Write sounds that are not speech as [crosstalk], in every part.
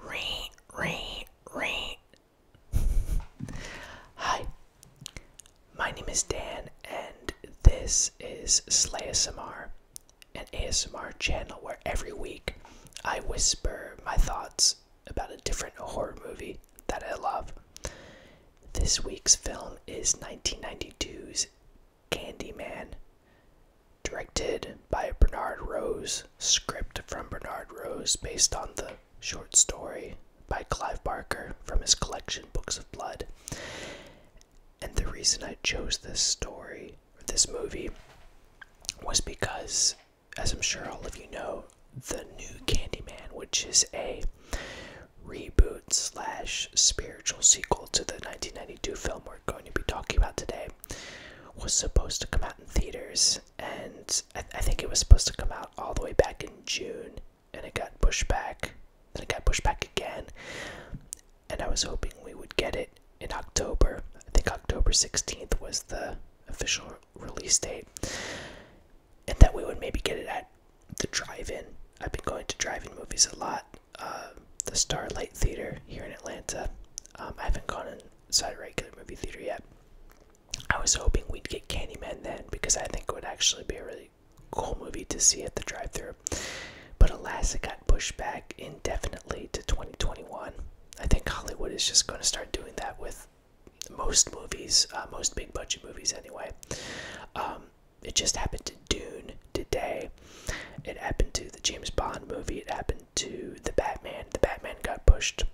Rain, rain, rain. [laughs] Hi, my name is Dan, and this is SlaySMR, an ASMR channel where every week I whisper my thoughts about a different horror movie that I love. This week's film is 1992's Candyman directed by Bernard Rose, script from Bernard Rose based on the short story by Clive Barker from his collection Books of Blood. And the reason I chose this story, or this movie, was because, as I'm sure all of you know, the new Candyman, which is a reboot slash spiritual sequel to the 1992 film going to be talking about today was supposed to come out in theaters, and I, think it was supposed to come out all the way back in June, and it got pushed back, then it got pushed back again, and I was hoping we would get it in October. I think October 16th was the official release date, and that we would maybe get it at the drive-in. I've been going to drive-in movies a lot. Uh, the Starlight Theater here in Atlanta. Um, I haven't gone in inside a regular movie theater yet. I was hoping we'd get Candyman then because I think it would actually be a really cool movie to see at the drive-thru. But alas, it got pushed back indefinitely to 2021. I think Hollywood is just going to start doing that with most movies, uh, most big budget movies anyway. Um, it just happened to Dune today. It happened to the James Bond movie. It happened to the Batman. The Batman got pushed,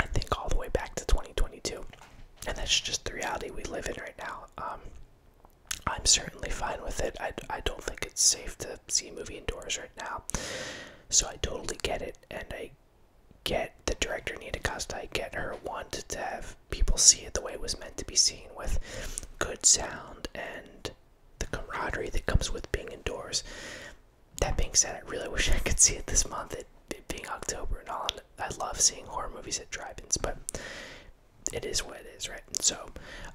I think, all the way back to 2022. And that's just the reality we live in right now. Um, I'm certainly fine with it. I, I don't think it's safe to see a movie indoors right now. So I totally get it. And I get the director, Nita Costa, I get her want to have people see it the way it was meant to be seen with good sound and the camaraderie that comes with being indoors. That being said, I really [laughs] wish I could see it this month. It, being October and all, I love seeing horror movies at drive-ins, but it is what it is, right? So,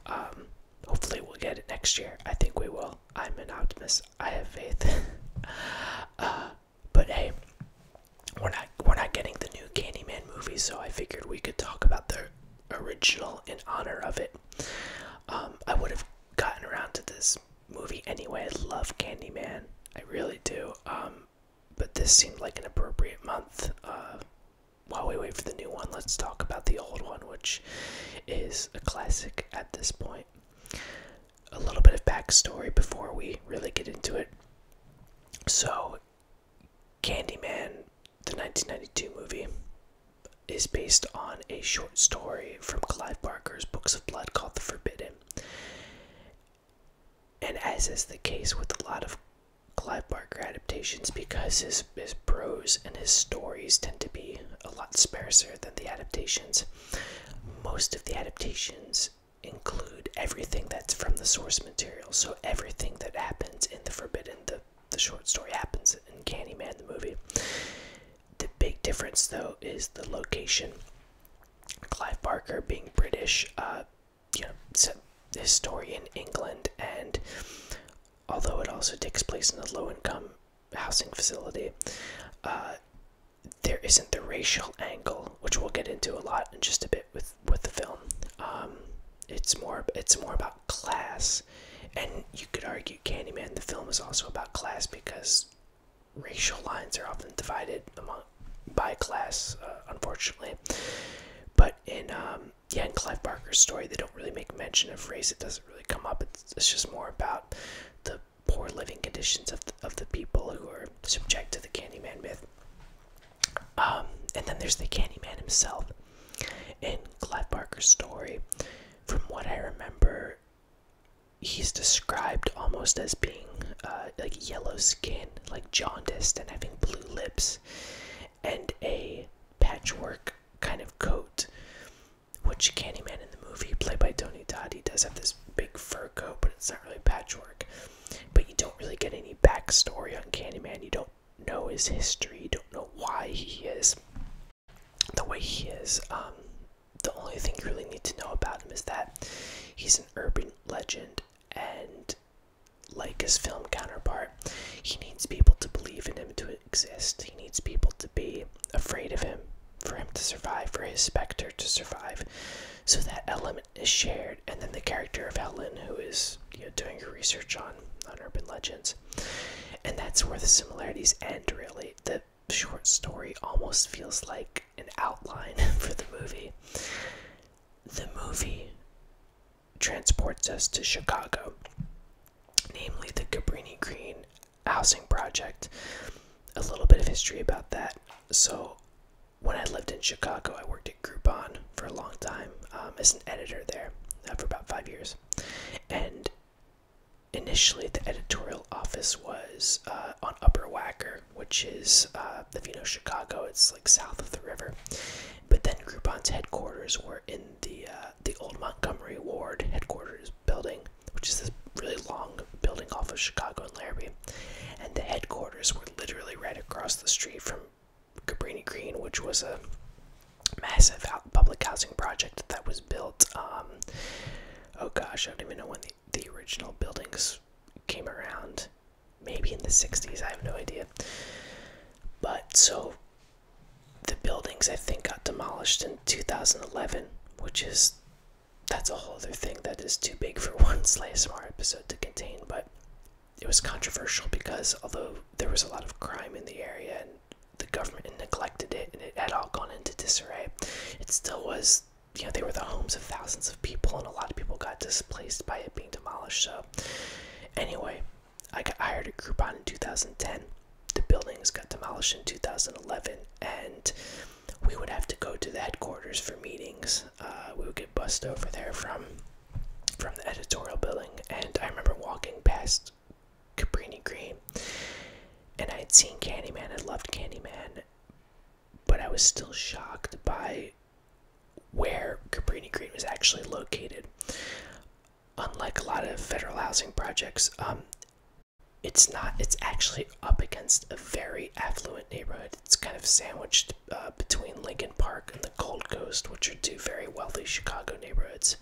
um, hopefully we'll get it next year. I think we will. I'm an optimist. I have faith. [laughs] Uh, but hey, we're not we're not getting the new Candyman movie, so I figured we could talk about the original in honor of it. Um, I would have gotten around to this movie anyway. I love Candyman. I really do. Um, but this seemed like an appropriate month. Uh, while we wait for the new one, let's talk about the old one, which is a classic at this point. A little bit of backstory before we really get into it. So, Candyman, the 1992 movie, is based on a short story from Clive Barker's Books of Blood called The Forbidden. And as is the case with a lot of Clive Barker adaptations, because his, his prose and his stories tend to be a lot sparser than the adaptations, most of the adaptations include everything that's from the source material. So everything that happens in The Forbidden, the, the short story happens in Candyman, the movie. The big difference, though, is the location. Clive Barker, being British, uh, you know, historian England, and although it also takes place in a low-income housing facility, uh, there isn't the racial angle, which we'll get into a lot in just a bit with with the film. Um, it's more it's more about class, and you could argue Candyman, the film, is also about class because racial lines are often divided among by class, uh, unfortunately. But in um, yeah, in Clive Barker's story, they don't really make mention of race. It doesn't really come up. It's, just more about the poor living conditions of the, of the people who are subject to the Candyman myth. Um, and then there's the Candyman himself. In Clive Barker's story, from what I remember, he's described almost as being uh, like yellow skin, like jaundiced, and having blue lips, and a patchwork kind of coat. Which Candyman in the movie, played by Tony Todd, he does have this big fur coat, but it's not really patchwork. But you don't really get any backstory on Candyman. You don't know his history. You don't know why he is the way he is, um, the only thing you really need to know about him is that he's an urban legend, and like his film counterpart, he needs people to believe in him to exist. He needs people to be afraid of him for him to survive, for his specter to survive. So that element is shared, and then the character of Helen, who is doing her research on on urban legends, and that's where the similarities end, really. The short story almost feels like an outline [laughs] for the movie. The movie transports us to Chicago, namely the Cabrini Green housing project. A little bit of history about that. So, when I lived in Chicago, I worked at Groupon for a long time um, as an editor there uh, for about five years. And initially the editorial office was uh, on Upper Wacker, which is uh, if you know Chicago, it's like south of the river. But then Groupon's headquarters were in the uh, the old Montgomery Ward headquarters building, which is this really long building off of Chicago and Larrabee. And the headquarters were literally right across the street from Cabrini Green, which was a massive public housing project that was built. Um, oh gosh, I don't even know when the, original buildings came around. Maybe in the 60s, I have no idea. But so the buildings, I think, got demolished in 2011, which is that's a whole other thing that is too big for [laughs] one SlaySMR episode to contain. But it was controversial because although there was a lot of crime in the area the government neglected it and it had all gone into disarray. It still was, you know, they were the homes of thousands of people and a lot of people got displaced by it being demolished. So, anyway, I got hired at Groupon in 2010. The buildings got demolished in 2011 and we would have to go to the headquarters for meetings. Uh, we would get bussed over there from from the editorial building and I remember walking past just Cabrini Green. And I had seen Candyman, I loved Candyman, but I was still shocked by where Cabrini Green was actually located. Unlike a lot of federal housing projects, um, it's not, it's actually up against a very affluent neighborhood. It's kind of sandwiched uh, between Lincoln Park and the Gold Coast, which are two very wealthy Chicago neighborhoods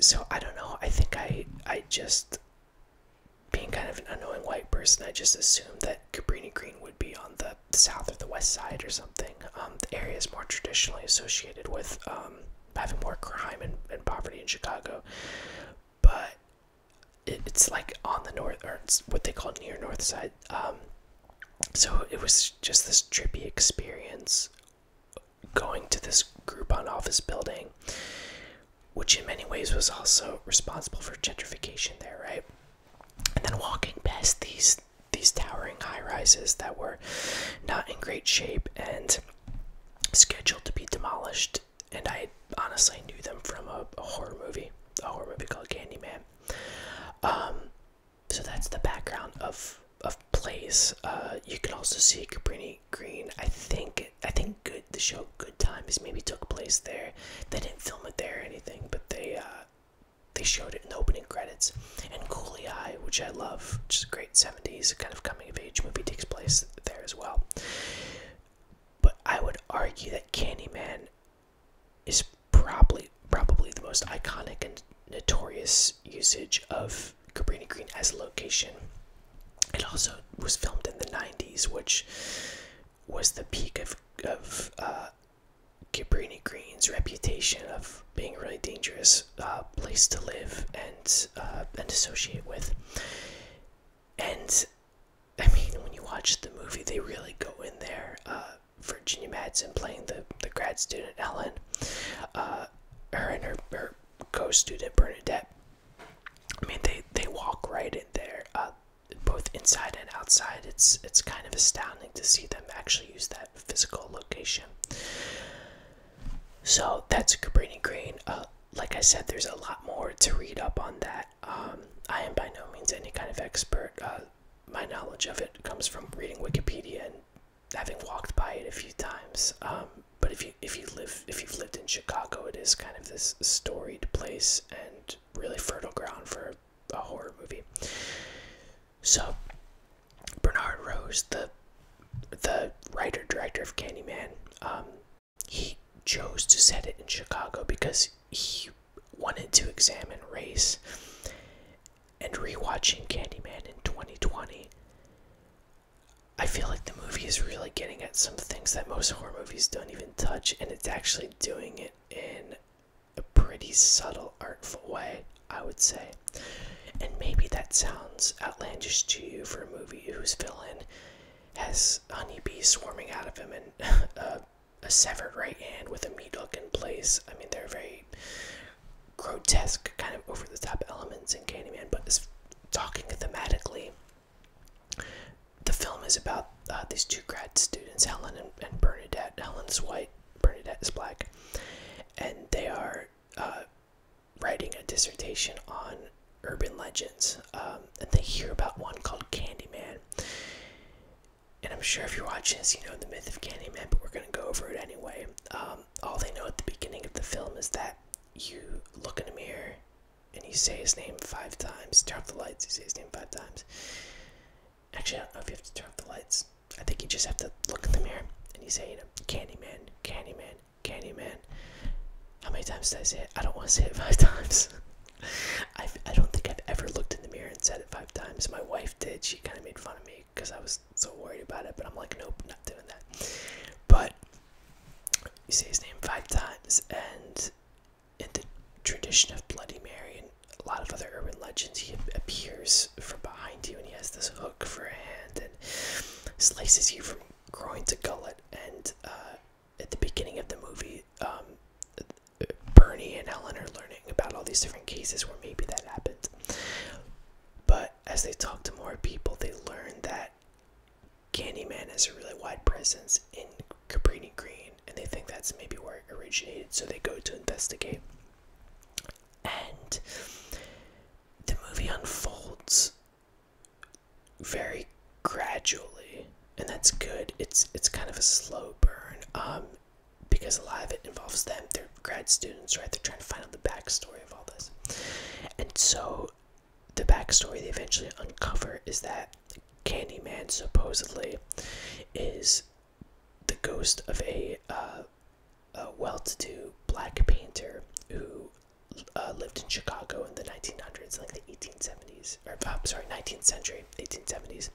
so I don't know. I think I I just being kind of an annoying white person, I just assumed that Cabrini Green would be on the south or the west side or something. Um, the area is more traditionally associated with um, having more crime and, and poverty in Chicago, but it's like on the north or what they call near north side. Um, so it was just this trippy experience going to this Groupon office building, which in many ways was also responsible for gentrification there, right? And then walking past these these towering high rises that were not in great shape and scheduled to be demolished, and I honestly knew them from a, horror movie, a horror movie called Candyman. Um, so that's the background of of place, uh, you can also see Cabrini Green. I think I think good the show Good Times maybe took place there. They didn't film it there or anything, but they uh, they showed it in the opening credits. And Coolie Eye, which I love, which is a great '70s kind of coming of age movie, takes place there as well. But I would argue that Candyman is probably probably the most iconic and notorious usage of Cabrini Green as a location. It also was filmed in the 90s, which was the peak of, of uh, Green's reputation of being a really dangerous uh, place to live and, uh, and associate with. And I mean, when you watch the movie, they really go in there. Uh, Virginia Madsen playing the, the grad student Ellen. her and her, her co-student Bernadette. I mean, they they walk right in there, uh, both inside and outside. It's it's kind of astounding to see them actually use that physical location. So that's Cabrini Green. Uh, like I said, there's a lot more to read up on that. Um, I am by no means any kind of expert. Uh, my knowledge of it comes from reading Wikipedia and having walked by it a few times. Um, but if you if you live if you've lived in Chicago, it is kind of this storied place and really fertile ground for a horror movie. So Bernard Rose, the the writer director of Candyman, um, he chose to set it in Chicago because he wanted to examine race. And rewatching Candyman in 2020, I feel like the movie is really getting at some things that most horror movies don't even touch, and it's actually doing it in a pretty subtle, artful way, I would say. And maybe that sounds outlandish to you for a movie whose villain has honeybees swarming out of him and [laughs] a, severed right hand with a meat hook in place. I mean, they're very grotesque, kind of over the top elements in Candyman, but as talking thematically, the film is about uh, these two grad students, Helen and, Bernadette. Helen's white, Bernadette is black, and they are uh, writing a dissertation on urban legends. Um, and they hear about one called Candyman. And I'm sure if you watch this, you know the myth of Candyman, but we're going to go over it anyway. Um, um, all they know at the beginning of the film is that you look in a mirror and you say his name five times. Turn off the lights, you say his name five times. Actually, I don't know if you have to turn off the lights. I think you just have to look in the mirror and you say, you know, Candyman, Candyman, Candyman. How many times did I say it? I don't want to say it five [laughs] times. I've, I i do not think I've ever looked in the mirror and said it five times. My wife did. She kind of made fun of me because I was so worried about it. But I'm like, nope, not doing that. But you say his name five times, and in the tradition of Bloody Mary and a lot of other urban legends, he appears from behind you and he has this hook for a hand and slices you from groin to gullet. And uh, at the beginning of the movie, um, Bernie and Helen are learning about all these different cases where maybe that happened. But as they talk to more people, they learn that Candyman has a really wide presence in Cabrini Green, and they think that's maybe where it originated, so they go to investigate. And the movie unfolds very gradually, and that's good. It's it's kind of a slow burn, um, because a lot of it involves them. They're grad students, right? They're trying to find out the backstory of all this, and so the backstory they eventually uncover is that Candyman supposedly is the ghost of a, uh, well-to-do black painter who uh, lived in Chicago in the 1900s, like the 1870s, or sorry, 19th century, 1870s,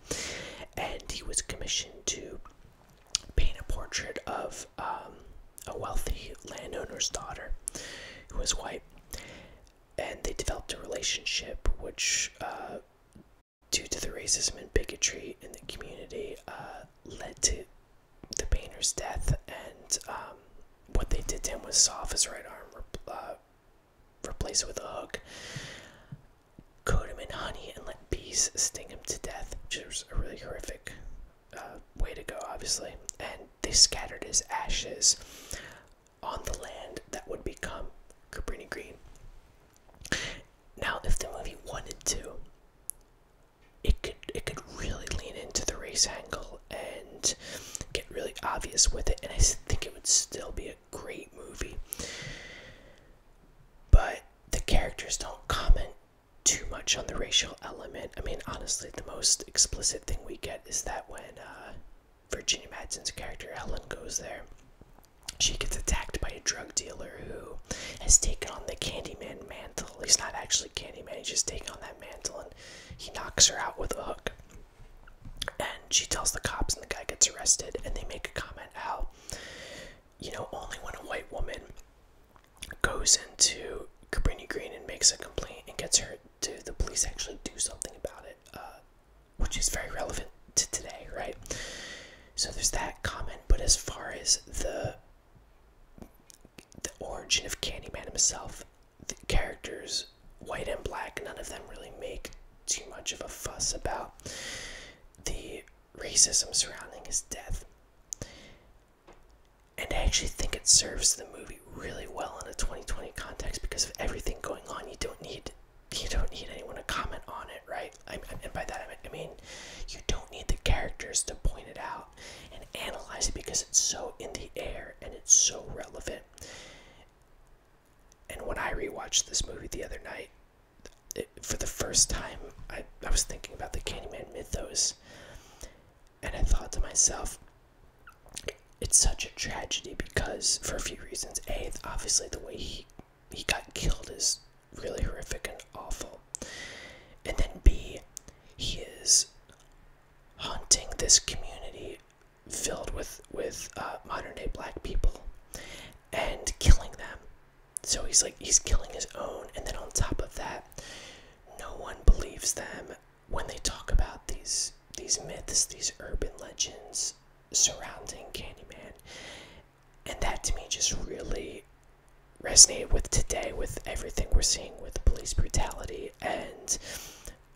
and he was commissioned to paint a portrait of um, a wealthy landowner's daughter who was white, and they developed a relationship which, uh, due to the racism and bigotry in the community, uh, led to the painter's death. And um, what they did to him was saw off his right arm, uh, replace it with a hook, coat him in honey, and let bees sting him to death, which was really horrific uh, way to go, obviously. And they scattered his ashes on the land that would become Cabrini Green. Now, if the movie wanted to, it could it could really lean into the race angle and get really obvious with it, and I think it would still be a great movie. But the characters don't comment too much on the racial element. I mean, honestly, the most explicit thing we get is that when uh, Virginia Madsen's character Helen goes there, she gets attacked by a drug dealer who has taken on the Candyman mantle. He's not actually Candyman, he's just taken on that mantle and he knocks her out with a hook. And she tells the cops, and the guy gets arrested, and they make a comment how, you know, only when a white woman goes into Cabrini Green and makes a complaint and gets her to the police actually do something about it, uh, which is very relevant to today, right? So there's that comment, but as far as the the origin of Candyman himself, the characters, white and black, none of them really make too much of a fuss about the racism surrounding his death. And I actually think it serves the movie really well in a 2020 context because of everything going on. You don't need you don't need anyone to comment on it, right? I, I, and by that I mean you don't need the characters to point it out and analyze it because it's so in the air and it's so relevant. And when I rewatched this movie the other night, for the first time, I, I was thinking about the Candyman mythos. And I thought to myself, it's such a tragedy because for a few reasons. A, obviously the way he he got killed is really horrific and awful. And then B, he is haunting this community filled with with uh, modern day black people and killing them. So he's like he's killing his own, and then on top of that, no one believes them when they talk about these these myths, these urban legends surrounding Candyman, and that to me just really resonated with today, with everything we're seeing with police brutality and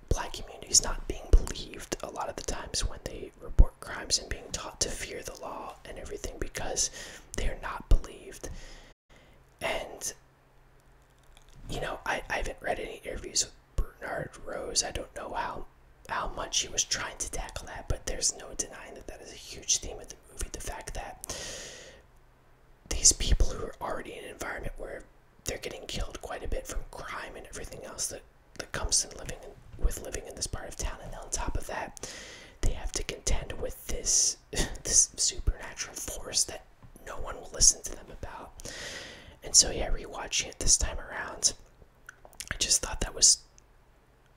black communities not being believed a lot of the times when they report crimes and being taught to fear the law and everything because they're not believed and you know, I, I haven't read any interviews with Bernard Rose. I don't know how how much he was trying to tackle that, but there's no denying that that is a huge theme of the movie. The fact that these people who are already in an environment where they're getting killed quite a bit from crime and everything else that that comes in living with living in this part of town, and on top of that, they have to contend with this [sighs] this supernatural force that no one will listen to them about. And so yeah, rewatching it this time around, I just thought that was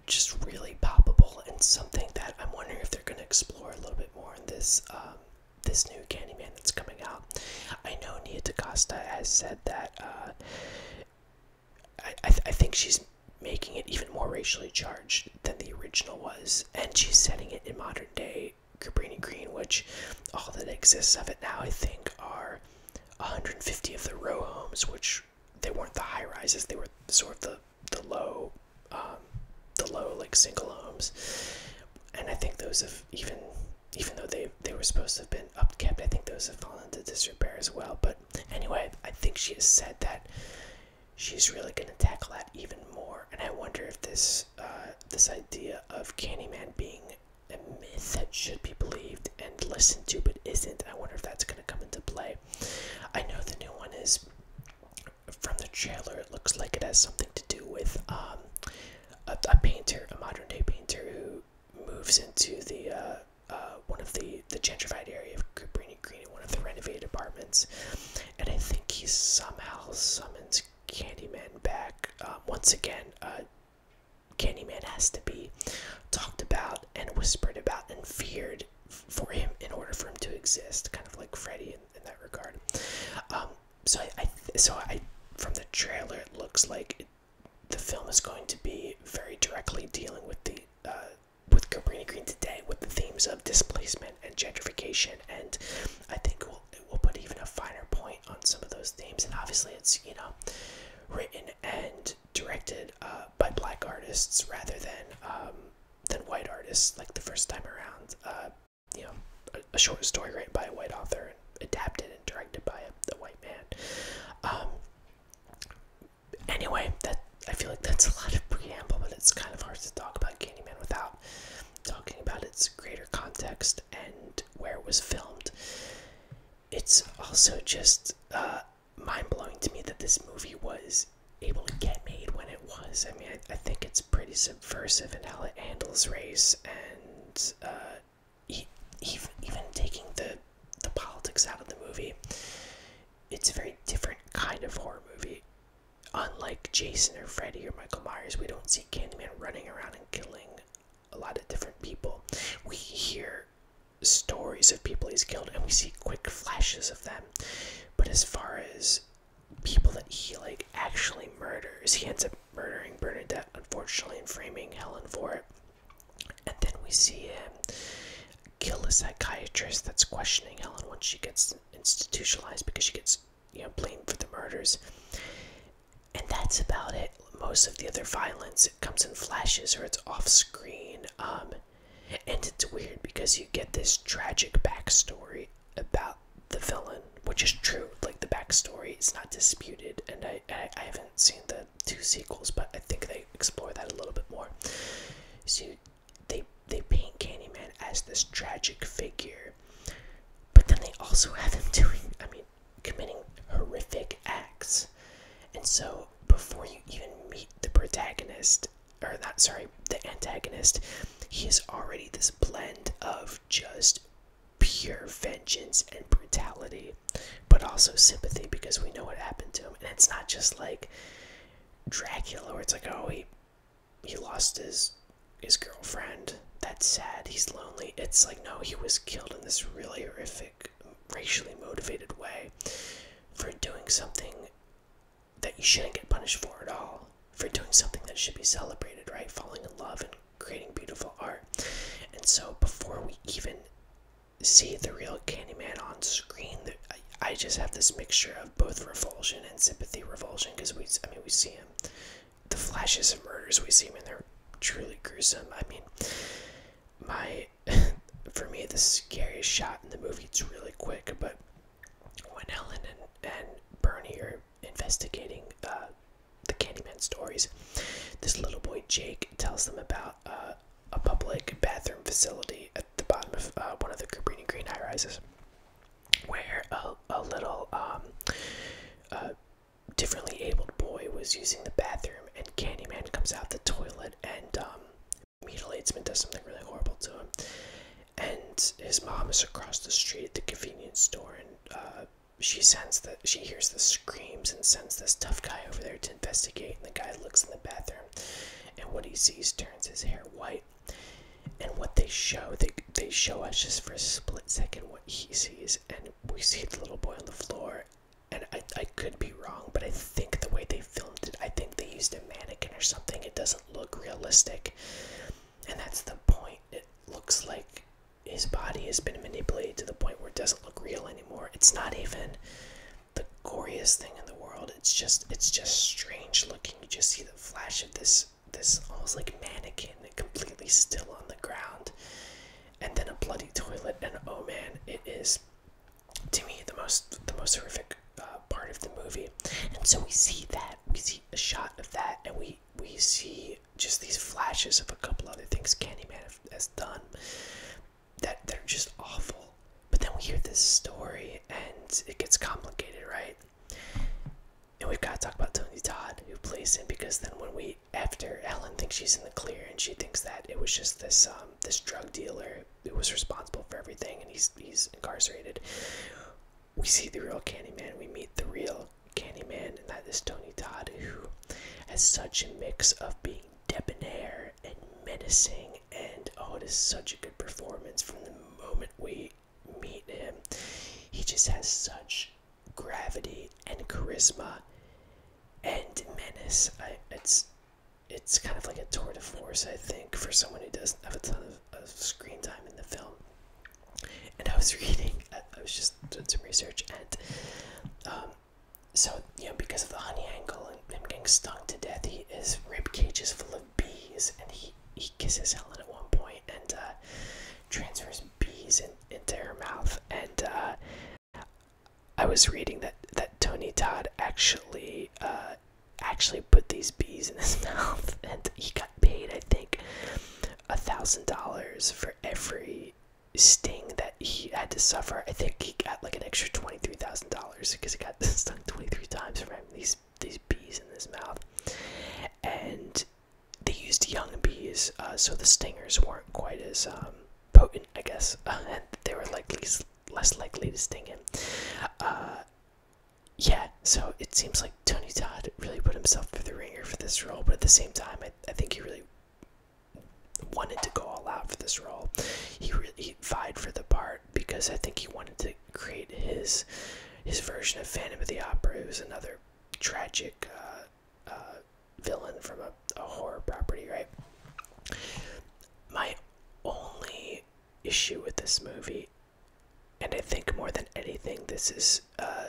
just really palpable and something that I'm wondering if they're going to explore a little bit more in this um, this new Candyman that's coming out. I know Nia DaCosta has said that uh, I I think she's making it even more racially charged than the original was, and she's setting it in modern day Cabrini, Green, which all that exists of it now, I think, are 150 of the row homes, which they weren't the high rises, they were sort of the the low, um, the low like single homes, and I think those have even, even though they they were supposed to have been upkept, I think those have fallen into disrepair as well. But anyway, I think she has said that she's really going to tackle that even more, and I wonder if this uh, this idea of Candyman being a myth that should be believed and listened to but isn't. I wonder if that's going to come into play. I know the new one is from the trailer, it looks like it has something to do with um, a, painter, a modern day painter who moves into the uh, uh, one of the, the gentrified area of Cabrini Green one of the renovated apartments. And I think he somehow summons Candyman back. Um, once again, uh, Candyman has to be talked about and whispered about and feared for him in order for him to exist, kind of like Freddy in, that regard. Um, so I, so from the trailer, it looks like the film is going to be very directly dealing with the uh, with Cabrini Green today, with the themes of displacement and, gentrification, and I think we'll, put even a finer point on some of those themes. And obviously, it's you know written and directed uh, by black artists rather than um, than white artists. Like the first time around, uh, you know, a, short story written by a white author and adapted and directed by a, white man. Um, anyway, that I feel like that's a lot of preamble, but it's kind of hard to talk about Candyman without talking about its greater context and where it was filmed. It's also just uh, mind blowing to me that this movie was able to get made when it was. I mean, I, think it's pretty subversive in how it handles race and uh, even, even taking the, the politics out of the movie. It's a very different kind of horror movie unlike Jason or Freddy or Michael Myers, we don't see Candyman running around and killing a lot of different people. We hear stories of people he's killed and we see quick flashes of them. But as far as people that he like actually murders, he ends up murdering Bernadette unfortunately and framing Helen for it. And then we see him kill a psychiatrist that's questioning Helen once she gets institutionalized because she gets you know, blame for the murders. And that's about it. Most of the other violence it comes in flashes or it's off screen. Um, and it's weird because you get this tragic backstory about the villain, which is true. Like the backstory is not disputed, and I, I, haven't seen the two sequels, but I think they explore that a little bit more. So they they paint Candyman as this tragic figure but then they also have him doing, I mean, committing horrific acts. And so before you even meet the protagonist, or not, sorry, the antagonist, he is already this blend of just pure vengeance and brutality, but also sympathy because we know what happened to him. And it's not just like Dracula where it's like, oh, he he lost his his girlfriend. That's sad. He's lonely. It's like no, he was killed in this really horrific, racially motivated way for doing something that you shouldn't get punished for at all. For doing something that should be celebrated, right? Falling in love and creating beautiful art. And so before we even see the real Candyman on screen, I, just have this mixture of both revulsion and sympathy. Revulsion because we, I mean, we see him the flashes of murders we see when I they're truly gruesome. I mean, my [laughs] for me the scariest shot in the movie it's really quick, but when Helen and, and Bernie are investigating uh, the Candyman stories, this little boy Jake tells them about uh, a public bathroom facility at the bottom of uh, one of the Cabrini Green high rises where a, a little um, uh, differently abled boy was using the bathroom, and Candyman comes out the toilet and um, mutilates him and does something really horrible to him. And his mom is across the street at the convenience store, and uh, she sends the she hears the screams and sends this tough guy over there to investigate. And the guy looks in the bathroom, and what he sees turns his hair white and what they show they they show us just for a split second what he sees and we see the little boy on the floor and I, I could be wrong but i think the way they filmed it i think they used a mannequin or something it doesn't look realistic and that's the point it looks like his body has been manipulated to the point where it doesn't look real anymore it's not even the goriest thing in the world it's just it's just strange looking you just see the flash of this this almost like mannequin completely still on the ground and then a bloody toilet and oh man it is to me the most the most horrific uh, part of the movie and so we see that we see a shot of that and we we see just these flashes of a couple other things Candyman has done that they're just awful but then we hear this story and it gets complicated right and we've got to talk about Tony Todd, who plays him, because then when we after Ellen thinks she's in the clear, and she thinks that it was just this um, this drug dealer who was responsible for everything, and he's he's incarcerated. We see the real Candyman. We meet the real Candyman, and that is Tony Todd, who has such a mix of being debonair and menacing, and oh, it is such a good performance from the moment we meet him. He just has such gravity and charisma and menace. it's it's kind of like a tour de force, I think, for someone who doesn't have a ton of, screen time in the film. And I was [laughs] reading, I, was just doing some research, and um, so you know, because of the honey angle and him getting stung to death, his rib cage is full of bees, and he he, kisses Helen at one point and uh, transfers bees into her mouth. And uh, I was reading that that Tony Todd actually uh, actually put these bees in his [laughs] mouth, and he got paid, I think, a thousand dollars for every sting that he had to suffer. I think he got like an extra twenty three thousand dollars because he got [laughs] stung twenty three times from these these bees in his mouth, and they used young bees, uh, so the stingers weren't quite as um, potent, I guess, [laughs] and they were likely less likely to sting him. Uh, yeah, so it seems like Tony Todd really put himself through the ringer for this role, but at the same time, I, think he really wanted to go all out for this role. He really vied for the part because I think he wanted to create his his version of Phantom of the Opera. It was another tragic uh, uh, villain from a, horror property, right? My only issue with this movie, and I think more than anything, this is uh,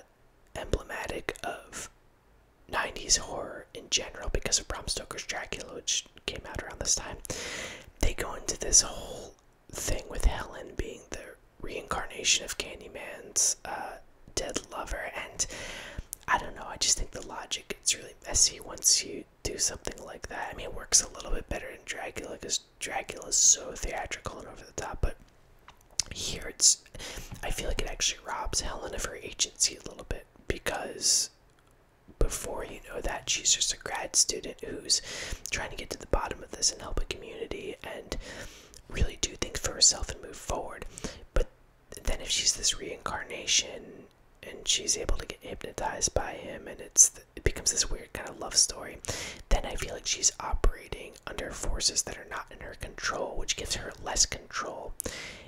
emblematic of 90s horror in general because of Bram Stoker's Dracula, which came out around this time. They go into this whole thing with Helen being there reincarnation of Candyman's uh, dead lover, and I don't know. I just think the logic gets really messy once you do something like that. I mean, it works a little bit better in Dracula because Dracula is so theatrical and over the top, but here it's. I feel like it actually robs Helen of her agency a little bit because before you know that she's just a grad student who's trying to get to the bottom of this and help a community and really do things for herself and move forward. But then, if she's this reincarnation and she's able to get hypnotized by him, and it's it becomes this weird kind of love story, then I feel like she's operating under forces that are not in her control, which gives her less control.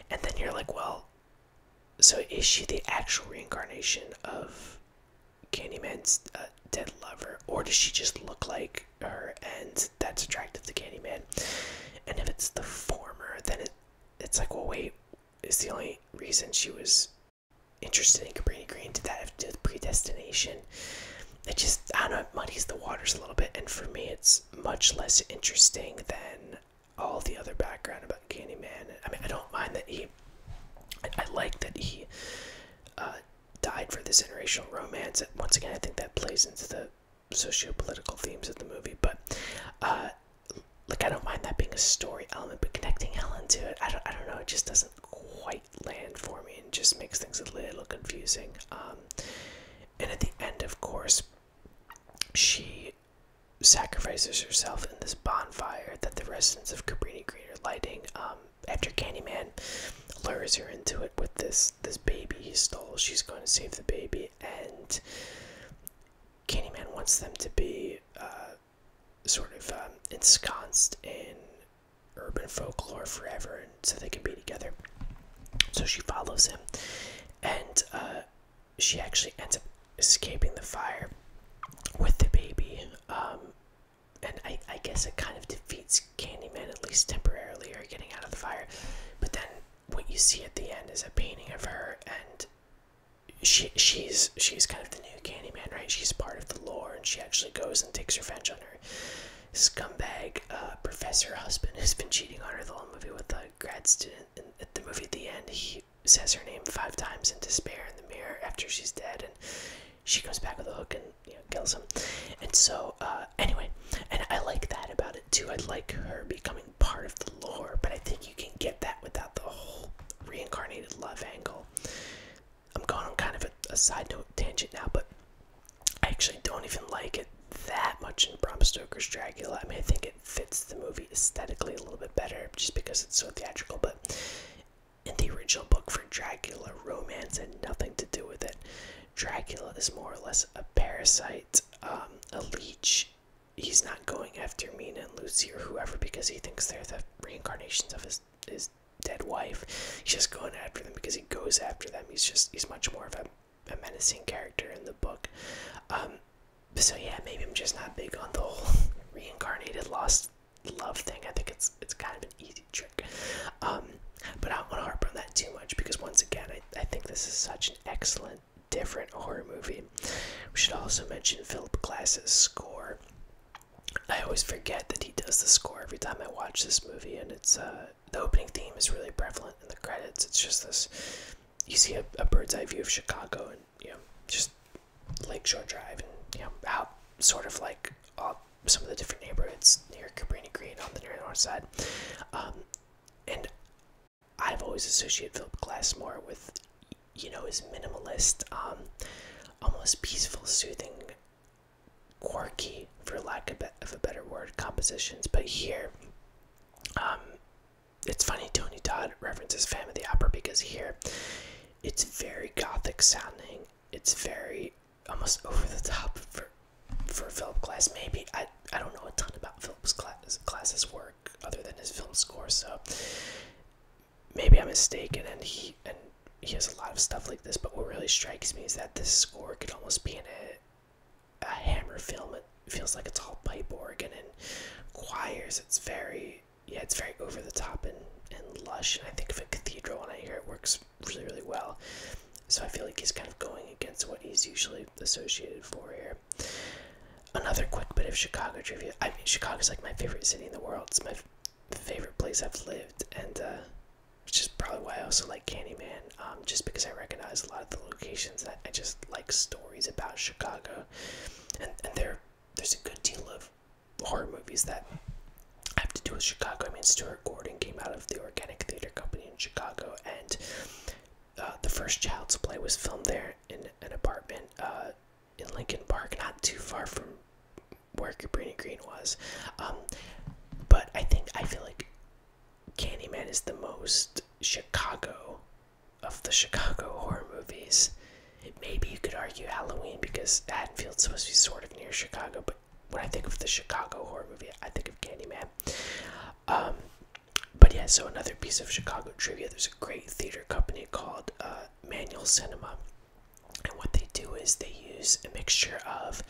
And then you're like, well, so is she the actual reincarnation of Candyman's uh, dead lover, or does she just look like her, and that's attractive to Candyman. And if it's the former, then it it's like, well, wait, is the only reason she was interested in Cabrini Green did that have to do with predestination? It just I don't know, it muddies the waters a little bit, and for me, it's much less interesting than all the other background about Candyman. I mean, I don't mind that he. I, like that he uh, died for this interracial romance. And once again, I think that plays into the socio-political themes of the movie. But uh, I don't mind that being a story element, but connecting Helen to it, I don't, I don't know. It just doesn't quite land for me, and just makes things a little confusing. Um, and at the end, of course, she sacrifices herself in this bonfire that the residents of Cabrini Green are lighting. Um, after Candyman lures her into it with this this baby he stole, she's going to save the baby, and Candyman wants them to be uh, sort of um, ensconced in urban folklore forever, so they can be together. So she follows him, and uh, she actually ends up escaping the fire with the baby. Um, and I, I guess it kind of defeats Candyman, at least temporarily, are getting out of the fire. But then what you see at the end is a painting of her, and she she's she's kind of the new Candyman, right? She's part of the lore, and she actually goes and takes revenge on her scumbag uh, professor husband who's been cheating on her the whole movie with a grad student. at the movie at the end, he says her name five times in despair in the mirror after she's dead, and she comes back with a hook and and kills him. And so uh, anyway, and I like that about it too. I like her becoming part of the lore, but I think you can get that without the whole reincarnated love angle. I'm going on kind of a, a side note tangent now, but I actually don't even like it that much in Bram Stoker's Dracula. I mean, I think it fits the movie aesthetically a little bit better just because it's so theatrical, but in the original book for Dracula, romance had nothing to do with it. Dracula is more or less a parasite, um, a leech. He's not going after Mina and Lucy or whoever because he thinks they're the reincarnations of his his dead wife. He's just going after them because he goes after them. He's just he's much more of a, a menacing character in the book. Um, so yeah, maybe I'm just not big on the whole [laughs] reincarnated lost love thing. I think it's it's kind of an easy trick. Um, but I don't want to harp on that too much because, once again, I, think this is such an excellent, different horror movie. We should also mention Philip Glass's score. I always forget that he does the score every time I watch this movie, and it's uh, the opening theme is really prevalent in the credits. It's just this you see a, bird's eye view of Chicago and you know, just Lakeshore Drive and you know, how sort of like some of the different neighborhoods near Cabrini Green on the north side. Um, and I've always associated Philip Glass more with, you know, his minimalist, um, almost peaceful, soothing, quirky, for lack of, a better word, compositions. But here, um, it's funny Tony Todd references Phantom of the Opera because here, it's very gothic sounding. It's very almost over the top for for Philip Glass. Maybe I I don't know a ton about Philip's class, Glass's work other than his film score, so maybe I'm mistaken. And he and he has a lot of stuff like this. But what really strikes me is that this score could almost be in a a Hammer film. It feels like it's all pipe organ and choirs. It's very yeah, it's very over the top and and lush. And I think of a cathedral when I hear it works really, really well. So I feel like he's kind of going against what he's usually associated for here. Another quick bit of Chicago trivia. I mean, Chicago's like my favorite city in the world. It's my favorite place I've lived, and uh, which is probably why I also like Candyman, um, just because I recognize a lot of the locations. That I just like stories about Chicago, and, and there there's a good deal of horror movies that have to do with Chicago. I mean, Stuart Gordon came out of the Organic Theater Company in Chicago, and uh, the first Child's Play was filmed there in an apartment uh, in Lincoln Park, not too far from where Cabrini Green was. Um, but I think I feel like Candyman is the most Chicago of the Chicago horror movies. Maybe you could argue Halloween because Haddonfield's supposed to be sort of near Chicago, but when I think of the Chicago horror movie, I think of Candyman. Um, but yeah, so another piece of Chicago trivia. There's a great theater company called uh, Manual Cinema, and what they do is they use a mixture of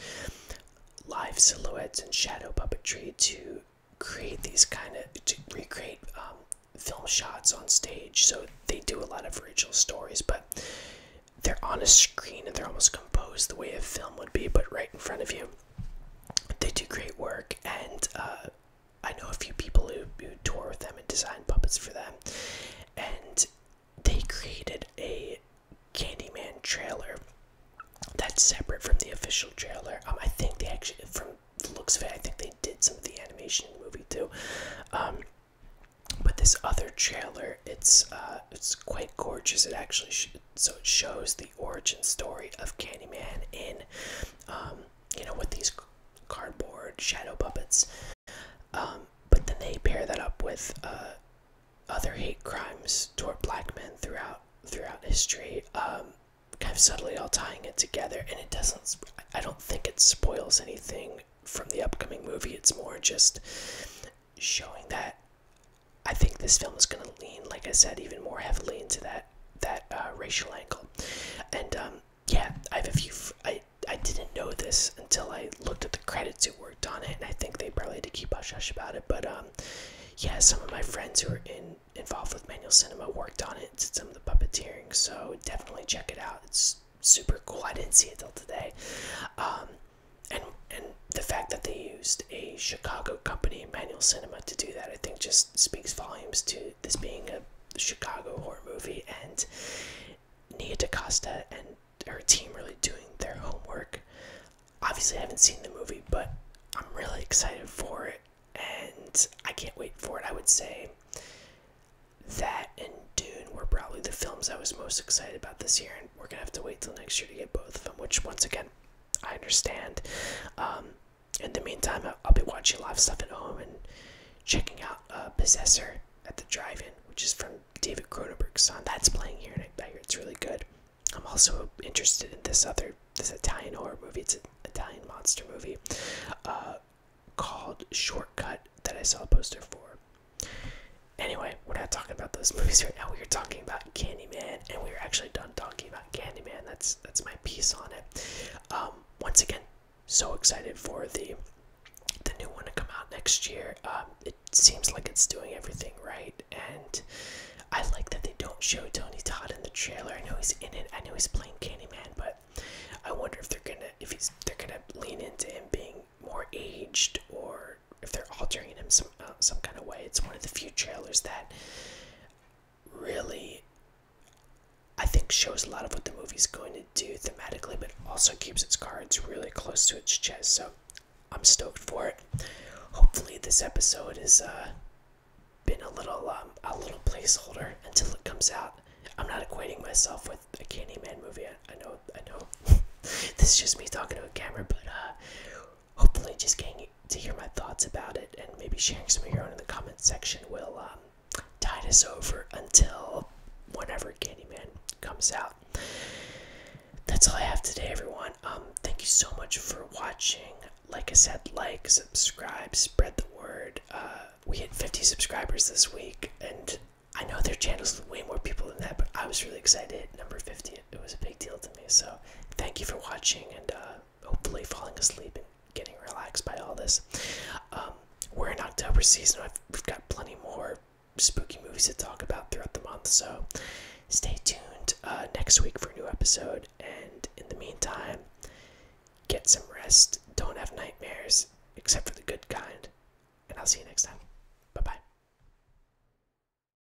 live silhouettes and shadow puppetry to create these kind of to recreate um, film shots on stage. So they do a lot of original stories, but they're on a screen and they're almost composed the way a film would be, but right in front of you. They do great work, and uh, I know a few people who, who tour with them and design puppets for them. And they created a Candyman trailer that's separate from the official trailer. Um, I think they actually, from looks of it, I think they did some of the animation in the movie too. Um, but this other trailer, it's uh, it's quite gorgeous. It actually sh so it shows the origin story of Candyman in, um, you know, with these cardboard shadow puppets. Um, but then they pair that up with uh, other hate crimes toward black men throughout throughout history, um, kind of subtly all tying it together. And it doesn't. I don't think it spoils anything from the upcoming movie. It's more just showing that I think this film is going to lean, like I said, even more heavily into that that uh, racial angle. And um, yeah, I have a few. I I didn't know this until I looked at the credits who worked on it, and I think they probably had to keep hush hush about it. But um, yeah, some of my friends who are involved with Manual Cinema worked on it, did some of the puppeteering. So definitely check it out. It's super cool. I didn't see it till today. Um, and and the fact that they used a Chicago company, Manual Cinema, to do that, I think, just speaks volumes to this being a Chicago horror movie and Nia DaCosta and her team really doing their homework. Obviously, I haven't seen the movie, but I'm really excited for it, and I can't wait for it. I would say that and Dune were probably the films I was most excited about this year, and we're gonna have to wait till next year to get both of them. Which, once again, I understand. Um, in the meantime, I'll, be watching a lot of stuff at home and checking out uh, Possessor at the drive-in, which is from David Cronenberg's son. That's playing here, and I, I hear it's really good. I'm also interested in this other this Italian horror movie. It's an Italian monster movie uh, called Shortcut that I saw a poster for. Anyway, we're not talking about those movies right now. We are talking about Candyman, and we are actually done talking about Candyman. That's that's my piece on it. Um, once again, so excited for the the new one to come out next year. Um, it seems like it's doing everything right, and I like that they don't show Tony Todd in the trailer. I know he's in it. I know he's playing Candyman, but I wonder if they're gonna if he's they're gonna lean into him being more aged or if they're altering him some uh, some kind of way. It's one of the few trailers that really I think shows a lot of what the movie's going to do thematically, but also keeps its cards really close to its chest. So I'm stoked for it. Hopefully, this episode has uh, been a little um, a little placeholder until it comes out. I'm not equating myself with a Candyman movie. I, know, I know. [laughs] this is just me talking to a camera, but uh, hopefully just getting to hear my thoughts about it and maybe sharing some of your own in the comment section will um, tide us over until whenever Candyman comes out. That's all I have today, everyone. Um, thank you so much for watching. Like I said, like, subscribe, spread the word. Uh, we hit 50 subscribers this week, and I know their channels with way more people than that, but I was really excited. Number 50 it, was a big deal to me. So thank you for watching and uh, hopefully falling asleep and getting relaxed by all this. Um, we're in October season. we've got plenty more spooky movies to talk about throughout the month. So stay tuned uh, next week for a new episode. And in the meantime, get some rest. Don't have nightmares, except for the good kind. And I'll see you next time. Bye bye.